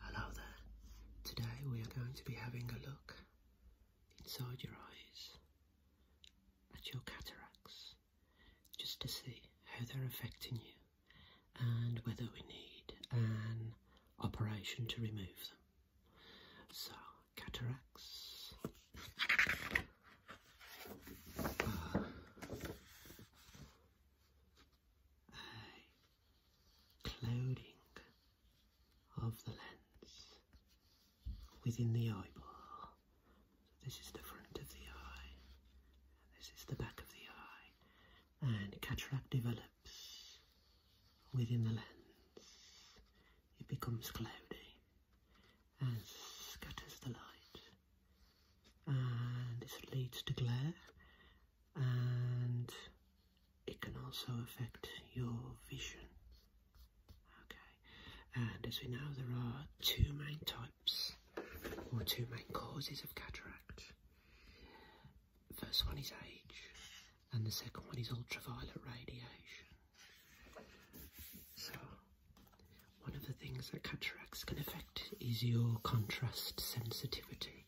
Hello there. Today we are going to be having a look inside your eyes at your cataracts just to see how they're affecting you and whether we need an operation to remove them. So, cataracts a clouding of the lens within the eyeball. this is the front of the eye, this is the back of the eye, and cataract develops within the lens. It becomes cloudy and scatters the light and this leads to glare and it can also affect your vision. Okay, and as we know, there are two main types or two main causes of cataract. first one is age, and the second one is ultraviolet radiation. So, one of the things that cataracts can affect is your contrast sensitivity.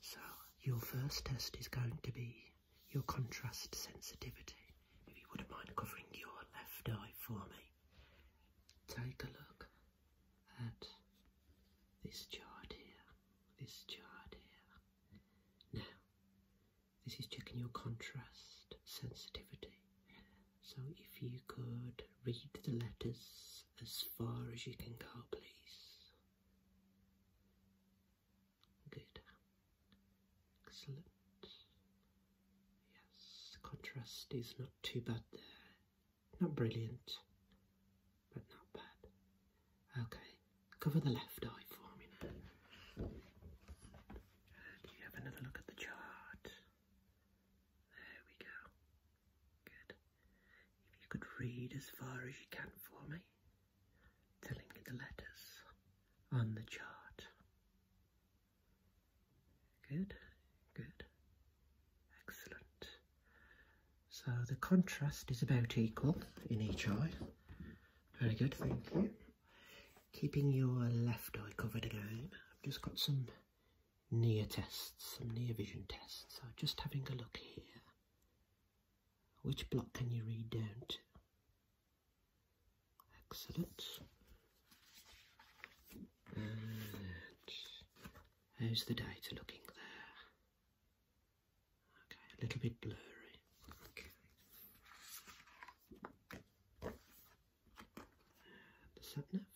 So, your first test is going to be your contrast sensitivity. If you wouldn't mind covering your left eye for me, take a look at this chart here, this chart here. Now, this is checking your contrast sensitivity. So if you could read the letters as far as you can go, please. Good. Excellent. Yes, contrast is not too bad there. Not brilliant, but not bad. Okay, cover the left eye for me now. And you have another look at the chart. There we go. Good. If you could read as far as you can for me, telling me the letters on the chart. Good, good. Excellent. So the contrast is about equal in each eye. Very good, thank you. Keeping your left eye covered again, I've just got some near tests, some near vision tests. So just having a look here. Which block can you read down to? Excellent. And how's the data looking there? Okay, a little bit blurry the subnet.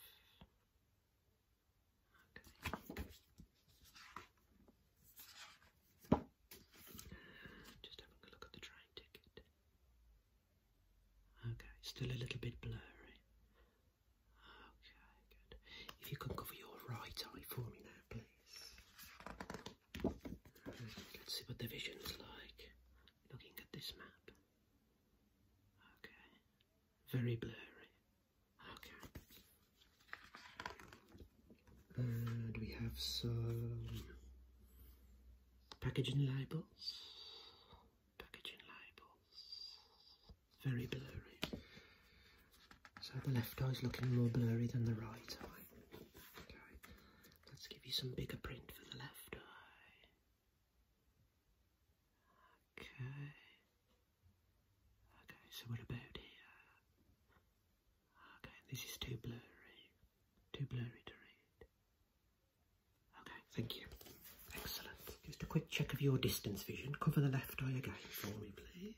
Just having a look at the train ticket. Okay, still a little bit blurry. Okay, good. If you could cover your right eye for me now, please. Let's see what the vision's like looking at this map. Okay. Very blurry. Okay. And uh, we have some packaging labels. Packaging labels. Very blurry. So the left eye is looking more blurry than the right eye. Okay. Let's give you some bigger print for the left eye. Okay. Okay, so what about here? Okay, this is too blurry. Too blurry to read. Okay, thank you. Excellent. Just a quick check of your distance vision. Cover the left eye again for me, please.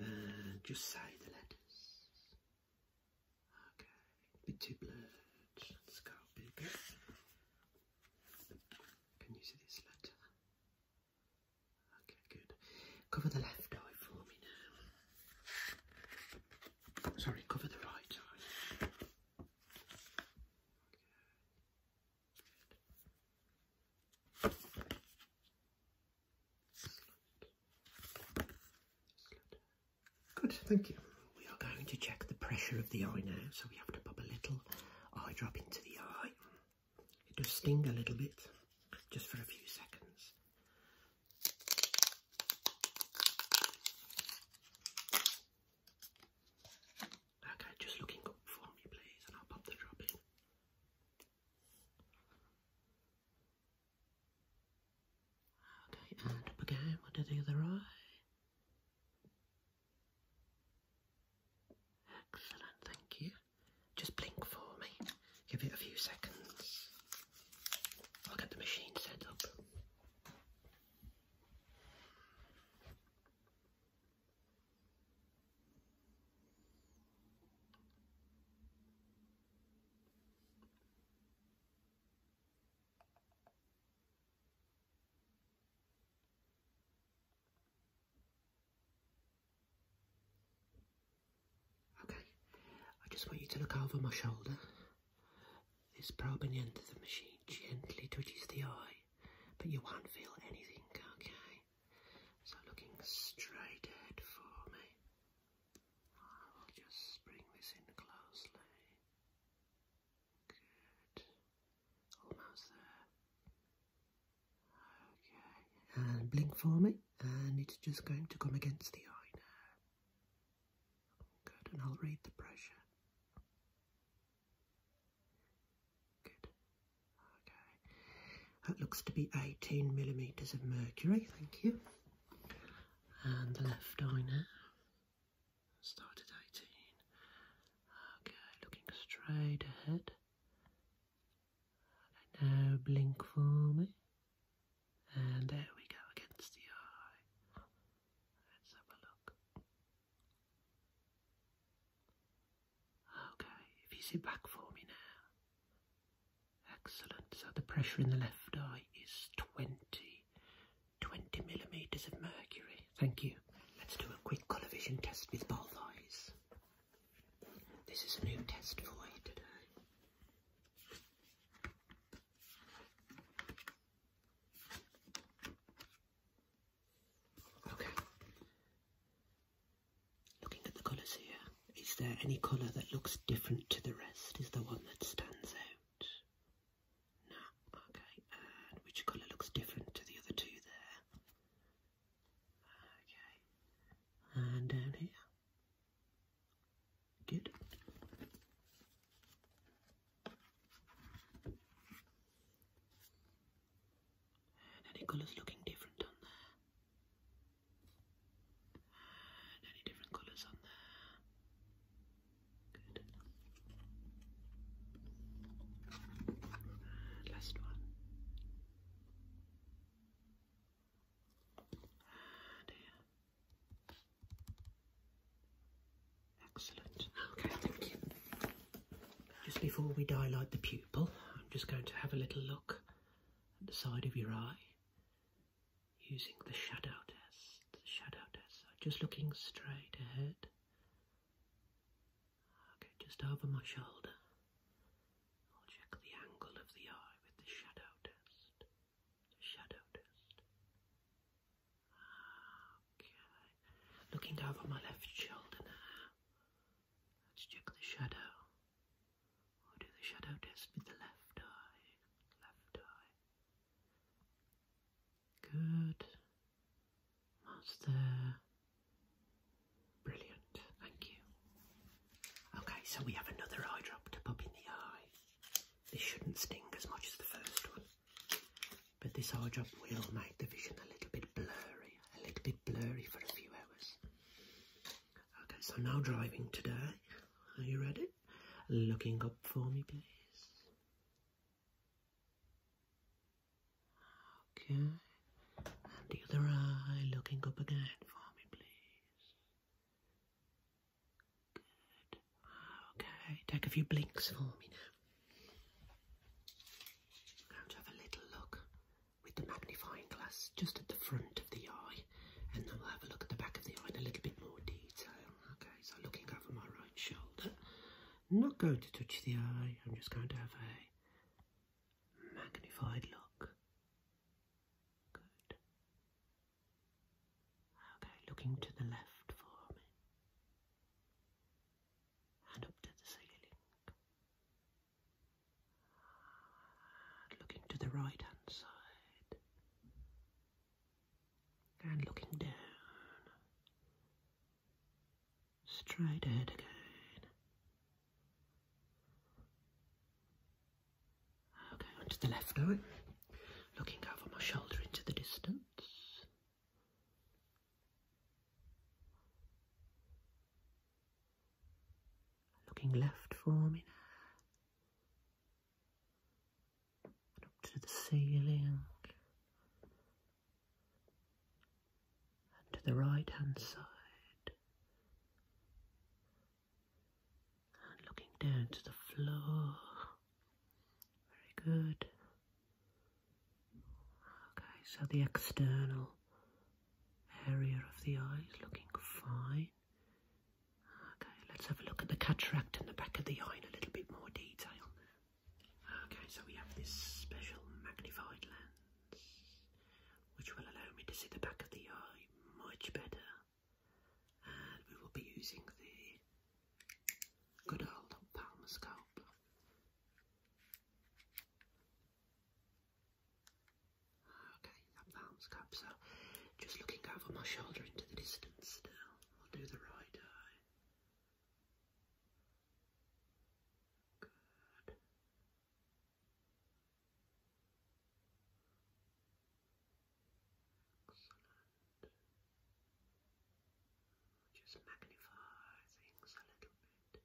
And just say the letters. Okay, too blurred. Let's go bigger. Can you see this letter? Okay, good. Cover the left eye for me now. Sorry, cover the right eye. Good, thank you. We are going to check the pressure of the eye now, so we have to pop a little eye drop into the eye. It does sting a little bit, just for a few seconds. Okay, just looking up for me, please, and I'll pop the drop in. Okay, and up again under the other eye. Excellent, thank you. Just blink for me. Give it a few seconds. I'll get the machine set up. Okay, I just want you to look over my shoulder. This probe in the end of the machine gently touches the eye, but you won't feel anything, okay? So looking straight ahead for me. I will just bring this in closely. Good. Almost there. Okay. And blink for me. And it's just going to come against the eye now. Good. And I'll read the pressure. Good. Okay. That looks to be 18 millimeters of mercury. Thank you and the left eye now. Start at 18. Okay, looking straight ahead. Okay, now blink for me. And there we go against the eye. Let's have a look. Okay, if you sit back for me now. Excellent. So the pressure in the left eye is 20, millimetres of mercury. Thank you. Let's do a quick colour vision test with both eyes. This is a new test for you today. Okay. Looking at the colours here. Is there any colour that looks different to the rest? Is the one that stands out? No, okay. which colour looks different to the other two there? Okay. And down here. Good. any colours looking different on there? any different colours on there? Good. last one. And Excellent. Okay, thank you. Just before we dilate the pupil, I'm just going to have a little look at the side of your eye using the shadow test. The shadow test. So just looking straight ahead. Okay, just over my shoulder. I'll check the angle of the eye with the shadow test. The shadow test. Okay. Looking over my left shoulder now. Let's check the shadow. I'll do the shadow test with the left eye. Left eye. Good. master. Brilliant, thank you. Okay, so we have another eye drop to pop in the eye. This shouldn't sting as much as the first one, but this eye drop will make the vision a little bit blurry, a little bit blurry for a few hours. Okay, so now driving today. Are you ready? Looking up for me, please. Okay. And the other eye looking up again for me, please. Good. Okay. Take a few blinks for me now. I'm have a little look with the magnifying glass just at the front of the eye and then we'll have a look at the back of the eye in a little bit more detail. Okay, so looking over my right shoulder, not going to touch the eye, I'm just going to have a magnified look. Good. Okay, looking to the left for me and up to the ceiling looking to the right hand side. And looking down. Straight ahead again. Okay, onto the left now. Looking over my shoulder into the distance looking left for me now, and up to the ceiling, and to the right hand side, and looking down to the floor. Very good. Okay, so the external area of the eyes looking fine. Okay. let's have a look at the cataract in the back of the eye in a little bit more detail. Okay, so we have this special magnified lens which will allow me to see the back of the eye much better. And we will be using the good old palmoscope. Okay, that bounce cap. So, just looking over my shoulder into the distance now. I'll do the right eye. Good. Excellent. Just magnify things a little bit.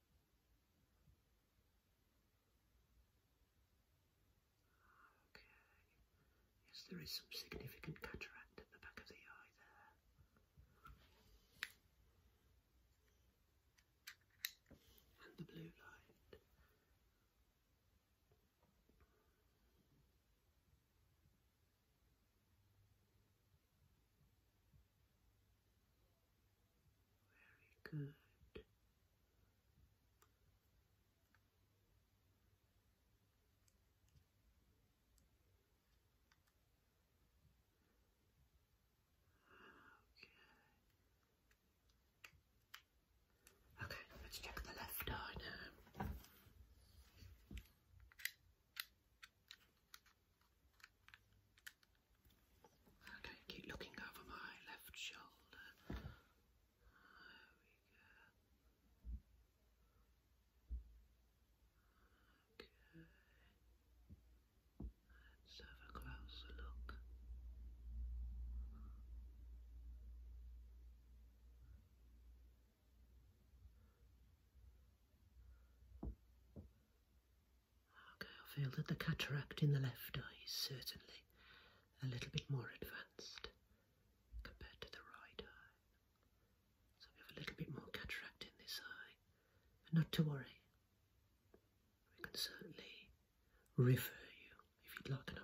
Okay. Yes, there is some significant cataract at the back of the eye there. And the blue light. Very good. Okay. Okay, let's check the left eye now. Okay, keep looking over my left shoulder. There we go. Okay. Let's have a closer look. Okay, I feel that the cataract in the left eye is certainly a little bit more advanced compared to the right eye. So we have a little bit more cataract in this eye. But not to worry, we can certainly refer you if you'd like an operation.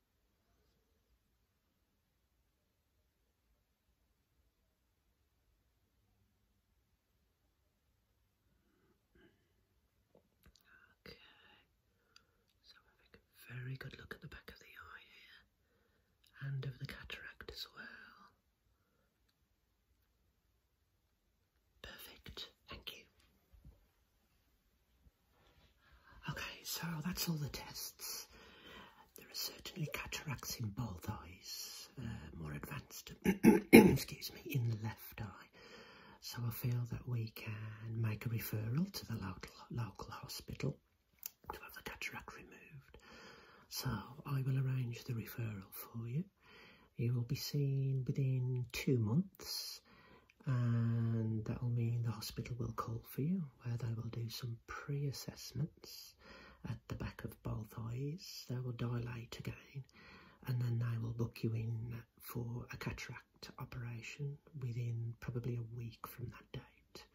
Okay, so having a very good look at the back of the eye here and of the cataract as well. Perfect, thank you. Okay, so that's all the tests. There are certainly cataracts in both eyes, uh, more advanced, excuse me, in the left eye. So I feel that we can make a referral to the local hospital to have the cataract removed. So I will arrange the referral for you. You will be seen within two months and that will mean the hospital will call for you where they will do some pre-assessments at the back of both eyes they will dilate again and then they will book you in for a cataract operation within probably a week from that date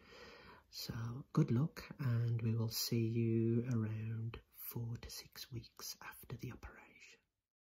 so good luck and we will see you around four to six weeks after the operation